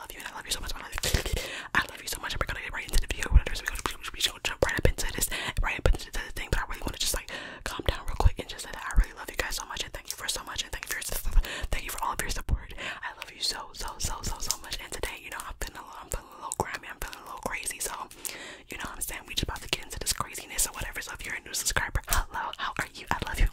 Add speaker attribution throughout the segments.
Speaker 1: I love you I love you so much. I love you, so much. I'm gonna get right into the video. Whatever, so we're gonna jump right up into this, right up into the thing. But I really want to just like calm down real quick and just say that I really love you guys so much and thank you for so much and thank you for all of your support. I love you so so so so so much. And today, you know, I'm feeling a little, I'm feeling a little grimy. I'm feeling a little crazy. So, you know, what I'm saying we just about to get into this craziness or whatever. So if you're a new subscriber, hello, how are you? I love you.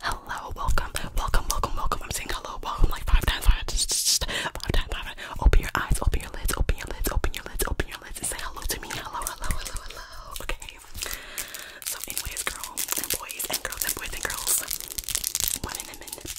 Speaker 1: Hello, welcome, welcome, welcome, welcome. I'm saying hello, welcome like five times, five, five times, five. Open your eyes, open your lids, open your lids, open your lids, open your lids, and say hello to me. Hello, hello, hello, hello. Okay. So, anyways, girls and boys and girls and boys and girls. One in a minute.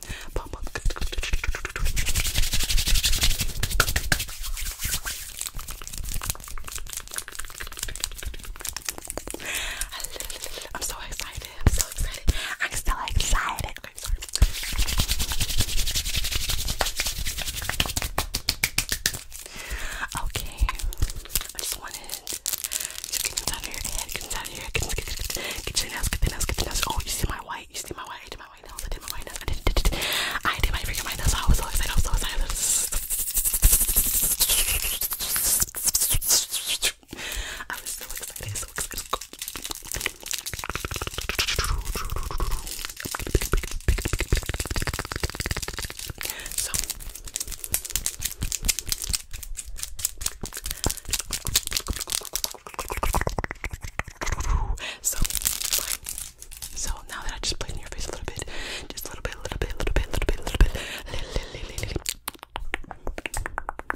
Speaker 1: I'm so excited. I'm so excited. I'm still excited. Okay, I just wanted to get inside of your head, get inside of your head, get, get, get, get, get your nails, get the nails, get the nails. Oh, you see my white, you see my white, my nails. I did my nails. I did, did, did, did. I did my freaking my nails. I was so excited. I was so excited. I was so excited. So excited. So. So, so now that I just played in your face a little bit, just a little bit, a little bit, a little bit, a little bit, a little bit, a little, little, little,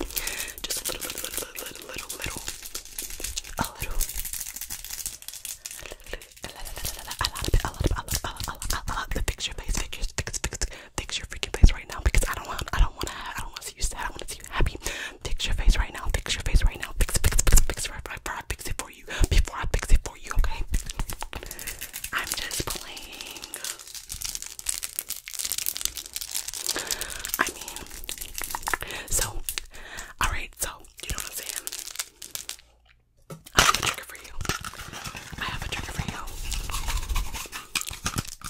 Speaker 1: little, just a little, little, little, little, little, little, a little, a lot of it, a lot of it, a lot of it, a lot, a lot, a lot. The fix your face, fix, fix, fix, fix your freaking face right now because I don't want, I don't want to, I don't want to see you sad. I want to happy. Fix your face right now. Fix your face right now. Fix it, fix it, fix it, fix it. Before I fix it for you. Before I fix it for you, okay? I'm just playing. I mean, so, alright, so, you know what I'm saying? I have a trigger for you. I have a trigger for you.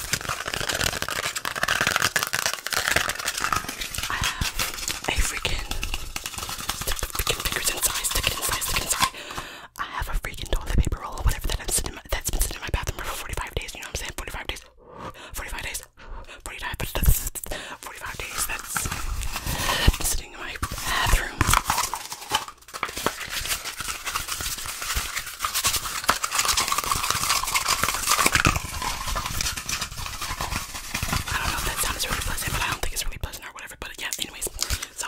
Speaker 1: I have a freaking freaking fingers inside, stick inside, stick inside. I have a freaking toilet paper roll or whatever that I'm sitting in my, has been sitting in my bathroom for 45 days, you know what I'm saying? 45 days, 45 days, 45, but that's 45 days that sitting in my bathroom. I don't know if that sound is really pleasant, but I don't think it's really pleasant or whatever. But yeah, anyways, so.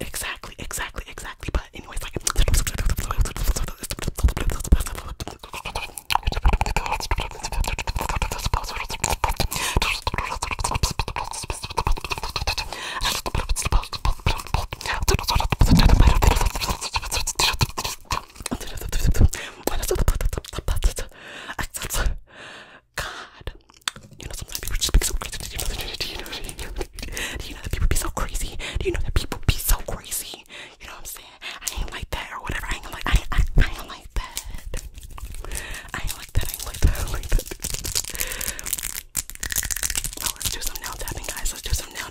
Speaker 1: Exactly, exactly, exactly. But anyways, like God, you know sometimes people just be so crazy. Do you know that? Do you know that? Do you know that people be so crazy? Do you know that people be so crazy? You know what I'm saying? I ain't like that or whatever. I ain't like I ain't, I, I ain't like that. I ain't like that. I ain't like that. I ain't like that. Well, let's do some nail tapping, guys. Let's do some nail.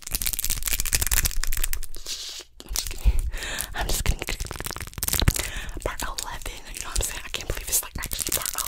Speaker 1: I'm just kidding. I'm just kidding. Part 11. You know what I'm saying? I can't believe it's like actually part 11.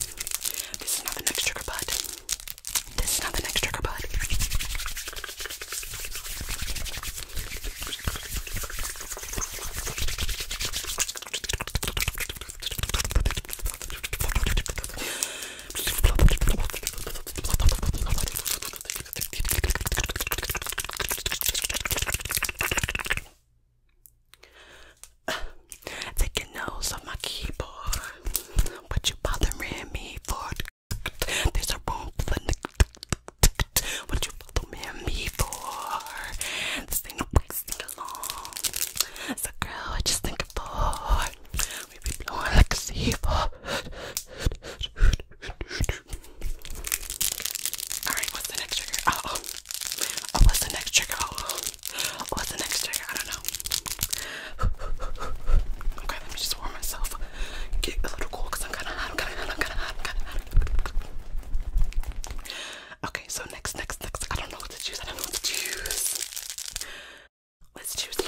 Speaker 1: this is not the next trigger, bud. This is not the next trigger, bud. Taking notes of my keyboard, but you bothering me for? There's a room What you bothering me for? This ain't no sing along. So girl, I just think for we be blowing like a seagull. All right, what's the next trigger? Oh, what's the next trigger? What's the next trigger? I don't know. okay, let me just warm myself. Get a little cool because I'm kind of hot. I'm kind of hot. I'm kind of hot. I'm kind of hot. Okay, so next, next, next. I don't know what to choose. I don't know what to choose. Let's choose you.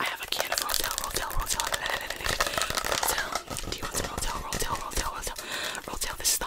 Speaker 1: I have a can of Rotel, Rotel, Rotel. Rotel. Do you want some Rotel, Rotel, Rotel, Rotel? Rotel, this is the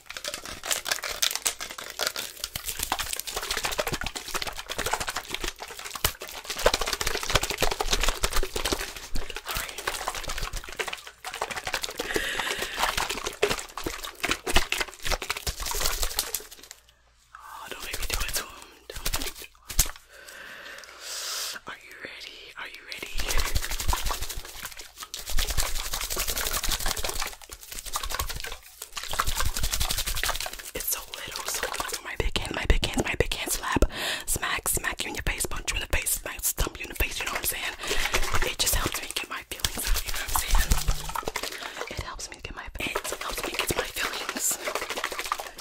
Speaker 1: Oh, don't make me do it to him. Don't make me do it. Are you ready? Are you ready? It's so little, so little. My big hand, my big hand, my big hand slap, smack, smack you in your face, punch you in the face, smack, stump you in the face. You know what I'm saying? It just helps me get my feelings out. You know what I'm saying? It helps me get my it helps me get my feelings.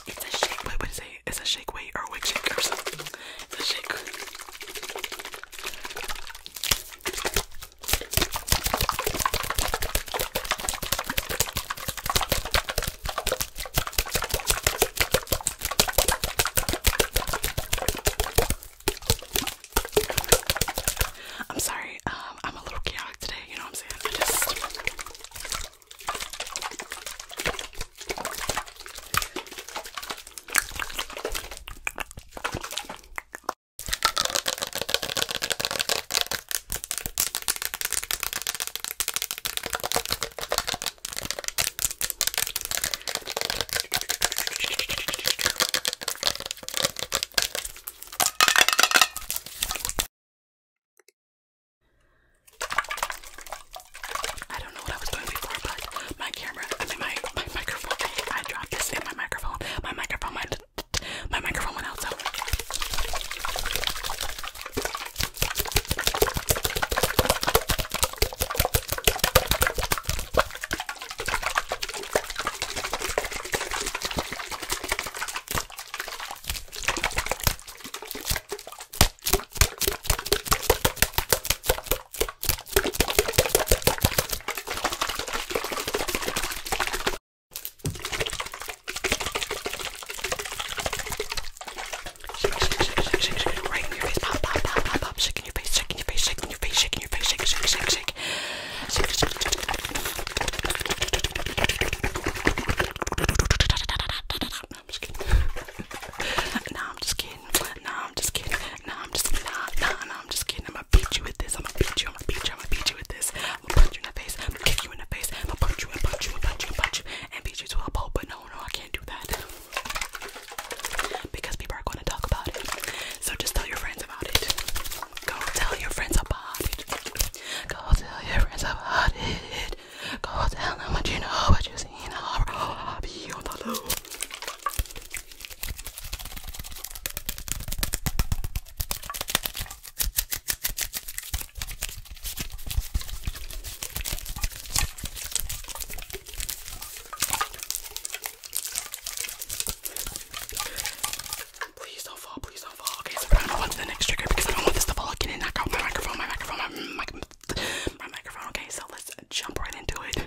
Speaker 1: It's a shake. Wait, what is it? It's a shake weight or a wig shake or something. It's shake. I'm sorry, um, I'm a little chaotic today, you know what I'm saying? I just I don't know what I was doing before, but my camera, I mean my, my microphone, I dropped this in my microphone, my microphone, my, my microphone went out, so. Shake, shake, shake, right in your face, pop, pop, pop, pop, pop, shaking your face, shaking your face, shaking your face, shaking your face, shake, shake, shake, shake. Shake, shake, shake, shake. I'm just kidding. no, I'm just kidding kidding. Nah, I'm just kidding. Nah, I'm just nah, nah, nah, I'm just kidding. I'ma beat you with this. I'ma beat you. I'ma beat you. I'ma beat you with this. I'ma punch you in the face. I'ma kick you in the face. I'ma punch you and punch you and punch you and punch you and beat you to a pulp. But no, no, I can't do that because people are going to talk about it. So just tell your friends about it. Go tell your friends about it. Go tell your friends about it. Go tell them what you know, what you've seen. I'll be on the loop. Please don't fall, please don't fall. Okay, so we're gonna go on to the next trigger because I don't want this to fall again and knock out my microphone, my microphone, my, my, my microphone. Okay, so let's jump right into it.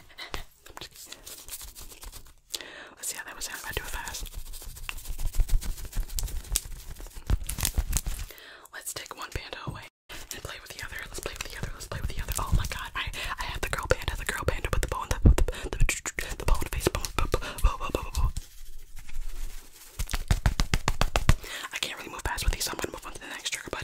Speaker 1: Let's see how that was sound I do it fast. Let's take one panda away and play with the other. Let's play with the other. Let's play with the other. Oh my god, I I have the girl panda, the girl panda with the bone, the the the, the, the face I can't really move fast with these, so I'm gonna move on to the next trigger, but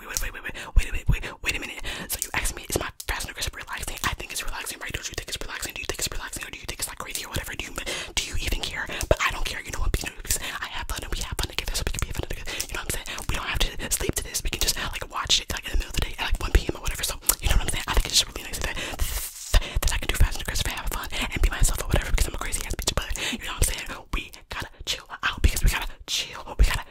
Speaker 1: wait, wait, wait, wait, wait, a minute. So you asked me, is my fast and aggressive relaxing? I think it's relaxing, right? Don't you think it's relaxing? Do you think it's relaxing, or do you think it's like crazy or whatever? Do you do you even care? But I don't care. You know what? Because I have fun and we have fun together, so we can be fun together. You know what I'm saying? We don't have to sleep to this. We can just like watch it like in the middle of the day like 1 p.m. or whatever. So you know what I'm saying? I think it's just really nice that I can do fast and aggressive and have fun and be myself or whatever because I'm a crazy ass bitch. But you know what I'm saying? We gotta chill out because we gotta chill. We gotta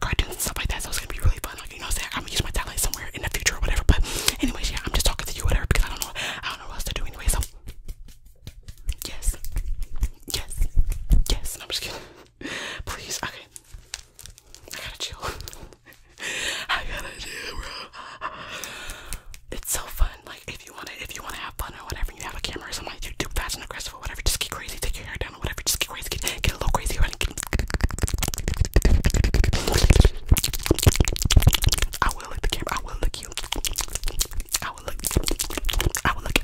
Speaker 1: cartoons stuff like that. So it's gonna be really fun. Like you know, I'm gonna use my talent somewhere in the future or whatever. But anyways, yeah, I'm just talking to you whatever because I don't know, I don't know what else to do anyway. So yes, yes, yes. I'm just kidding. Please, okay. I gotta chill. I gotta chill, bro. It's so fun. Like if you wanna, if you wanna have fun or whatever, you have a camera or something like you do fast and aggressive or whatever. Just get crazy, take your hair whatever. Just get crazy, get, a little crazy I will look the camera. I will look you. I will look. I will look.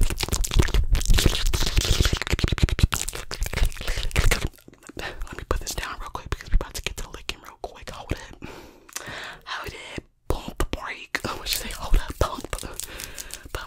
Speaker 1: Let me put this down real quick because we're about to get to licking real quick. Hold it. Hold it. Pump break. I want you say hold up. Pump. Pump.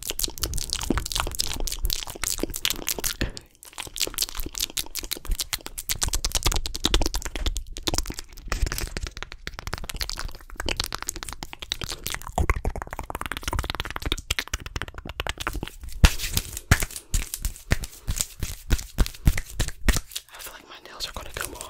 Speaker 1: I feel like my nails are gonna come off.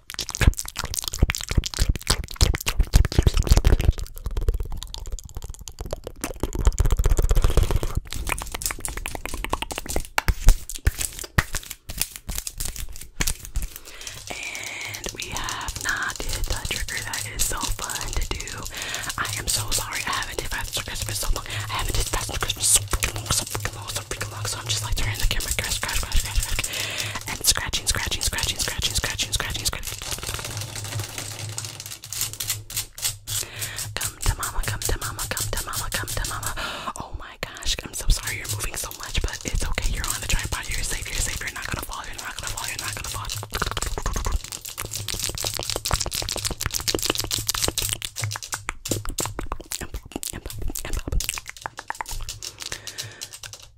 Speaker 1: And we have not did the trigger. That is so fun to do. I am so sorry. I haven't did fast Christmas for so long. I haven't did fast Christmas so freaking long, so freaking long, so freaking long. So I'm just like turning the camera, crash, crash, crash, crash, crash scratching, scratching, scratching, scratching, scratching, scratching, scratching. Come to mama, come to mama, come to mama, come to mama. Oh my gosh, I'm so sorry you're moving so much, but it's okay. You're on the tripod. You're safe. You're safe. You're not gonna fall. You're not gonna fall. You're not gonna fall.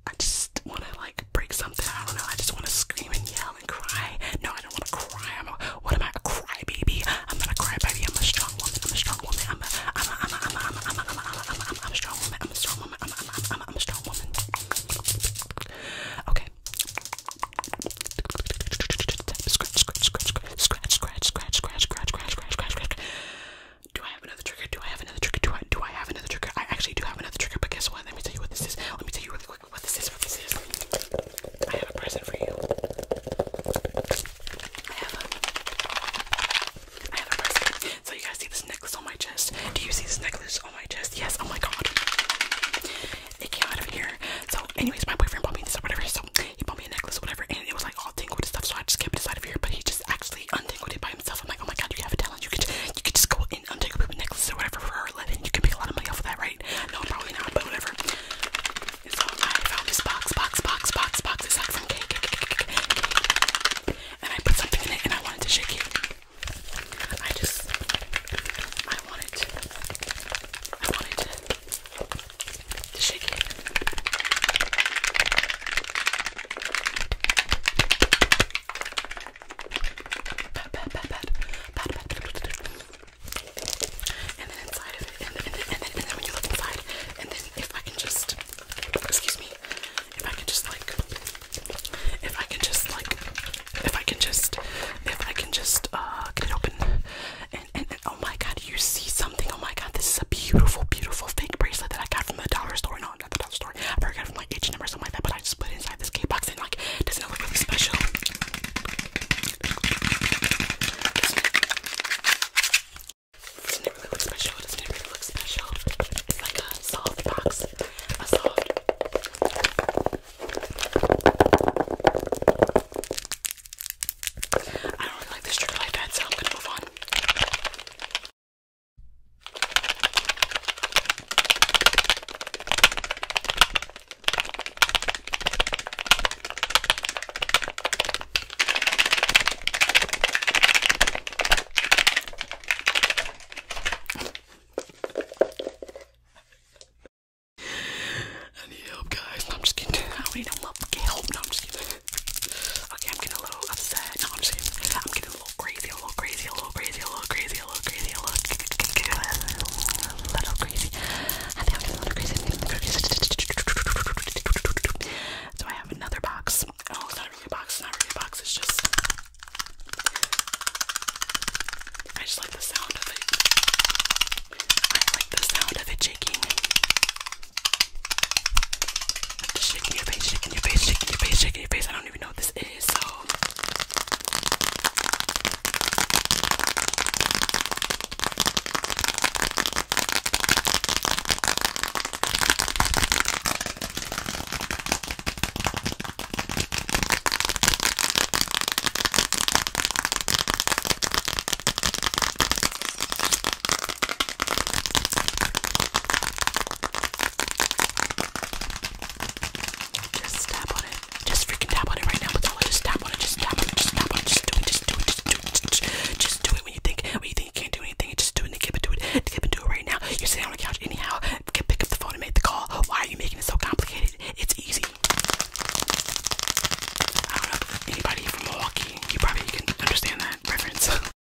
Speaker 1: I just want to like break something. I don't know. I just want to scream and yell and cry. No, I don't want to cry. I'm a, what am I? A cry baby? I'm not a cry baby. I'm a strong woman. I'm a strong woman. I'm a I'm a I'm a I'm a I'm a I'm a I'm a I'm a I'm a strong woman. I'm a strong woman. I'm a I'm a I'm a I'm a strong woman. Okay. Scratch, scratch, scratch, scratch, scratch, scratch, scratch, scratch, scratch, scratch, scratch, scratch. Do I have another trigger? Do I have another trigger? Do I do I have another trigger? I actually do have another trigger, but guess what? Let me tell you what this is. Let me tell you really quick what this is. What this is. I have a present for you. I have a present. So you guys see this necklace on my chest? Do you see this necklace on my chest? Yes. Oh my god. It came out of here. So anyways, my boyfriend bought me this or whatever. So he bought me a necklace or whatever, and it was like all tingled and stuff. So I just kept it inside of here, but he just actually untangled it by himself. I'm like, oh my god, you have it you could you could just go in and take a poop necklace or whatever for 11. You can make a lot of money off of that, right? No, probably not, but whatever. so I found this box, box, box, box, box. It's And I put something in it and I wanted to shake it. I just I wanted I wanted to shake it and then inside and then, and then, and then, when you look inside, and then if I can just, excuse me, if I can just like, if I can just like, if I can just, if I can just, uh, get it open, and, and, oh my god, you see something, oh my god, this is a beautiful, beautiful fake bracelet that I got from the dollar store know, the dollar store. I forgot my age number or something like that, but I just put it inside this cake box and like, doesn't it look really special? Doesn't it really look special? Doesn't it really look special? It's like a soft box. A soft. I don't really like this trigger like that, so I'm gonna move on. I need help, guys. I'm just kidding. I need no help. Get help. No, I'm just kidding okay, I'm getting a little upset. No, I'm just kidding. I'm getting a little crazy, a little crazy, a little crazy, a little crazy, a little crazy, a little crazy, a little crazy. I think I'm getting a little crazy. So I have another box. Oh, it's not really a box. It's not really a box. It's just. I just like the sound of it. I like the sound of it shaking shaking your face, shaking your face, shaking your face, shaking your face. I don't even know what this is, so just tap on it. Just freaking tap on it right now, Patella. Just tap on it. Just tap on it. Just tap on it. Just do it. Just do it. Just do it. Just, do it. just, just do it when you think when you think you can't do anything. Just do it. And keep it. Do it. Keep it. Do it right now. You're sitting on the couch anyhow. Get, pick up the phone and make the call. Why are you making it so complicated? It's easy. I don't know anybody from Milwaukee. You probably can understand that reference.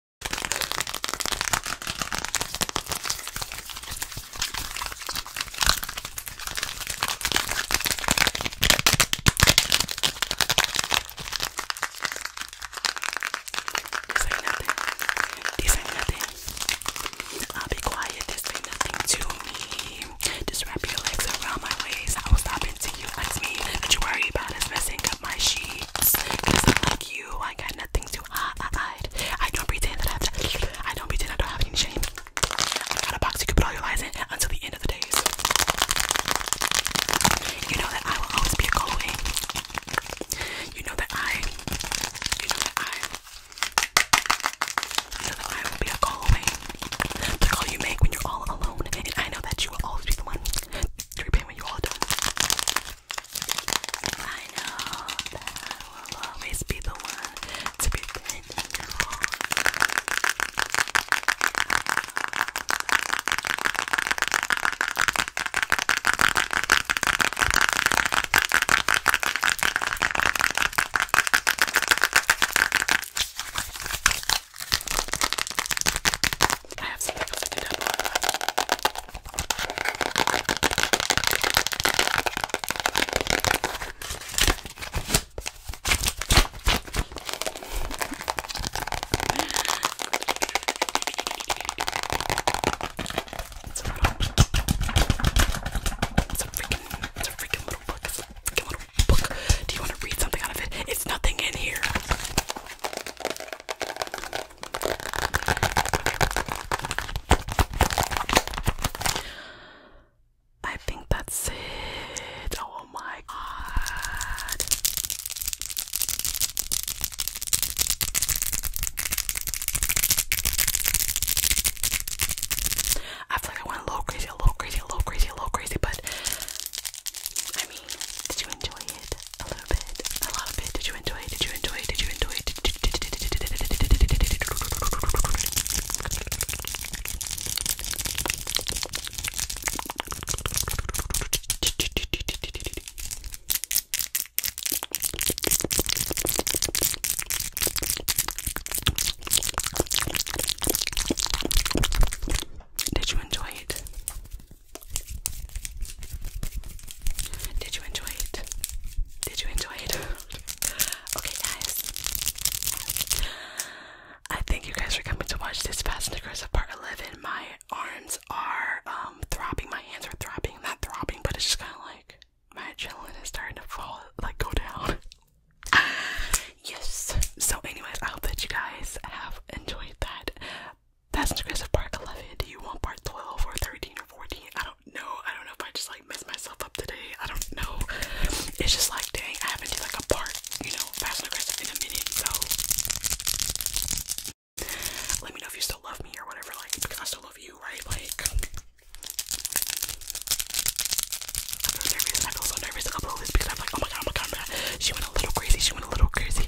Speaker 1: This ain't nothing. I'll be quiet. This ain't nothing to me. Just wrap your legs around my waist. I will stop until you like me. Don't you worry about us messing up my sheets. Cause I like you. I got nothing to hide. I don't pretend that I have don't pretend I don't have any shame. I got a box you can put all your lies in until the end of the days. You know that I will always be a go away. You know that I, you know that I, you know that I will be a call away. The call you make when you're all alone, and I know that you will always be the one to repay when you're all done. I know that I will always be the one to be bending you on. I have something to do It's a freaking little book. Do you want to read something out of it? It's nothing in here. I think that's it. Oh my god. I feel like I went a little crazy, a little crazy, a little crazy, a little crazy, but I mean did you enjoy it? A little bit? A lot it? Did you enjoy it? Did you enjoy Did you enjoy Did you enjoy it? Did you enjoy it? Did you enjoy it? okay, guys. I thank you guys for coming to watch this Fast and Aggressive Part 11. My arms are um, throbbing, my hands are throbbing, not throbbing, but it's just kind of like my adrenaline is starting to fall, like go down. yes. So, anyways, I hope that you guys have enjoyed that that's Digressive Part 11. Do you want Part 12 or 13 or 14? I don't know. I don't know if I just like messed myself up today. I don't know. It's just like, dang, I have to done like a part, you know, Fast and Aggressive in a minute, so. Let me know if you still love me or whatever, like, because I still love you, right? Like, I feel nervous. I feel so nervous to upload this because I'm like, oh, oh my god, oh my god. She went a little crazy. She went a little crazy.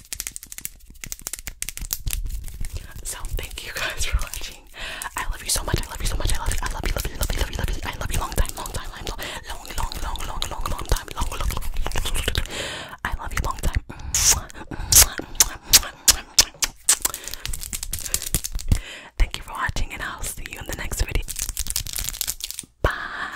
Speaker 1: So thank you guys for watching. I love you so much. I love you so much. I love you. I love you. Love you. Love you. Love you. Love you. I love you. Long time. Long time. Long long long long long long long time. Long long. I love you. Long time. Thank you for watching, and I'll see you in the next video. Bye.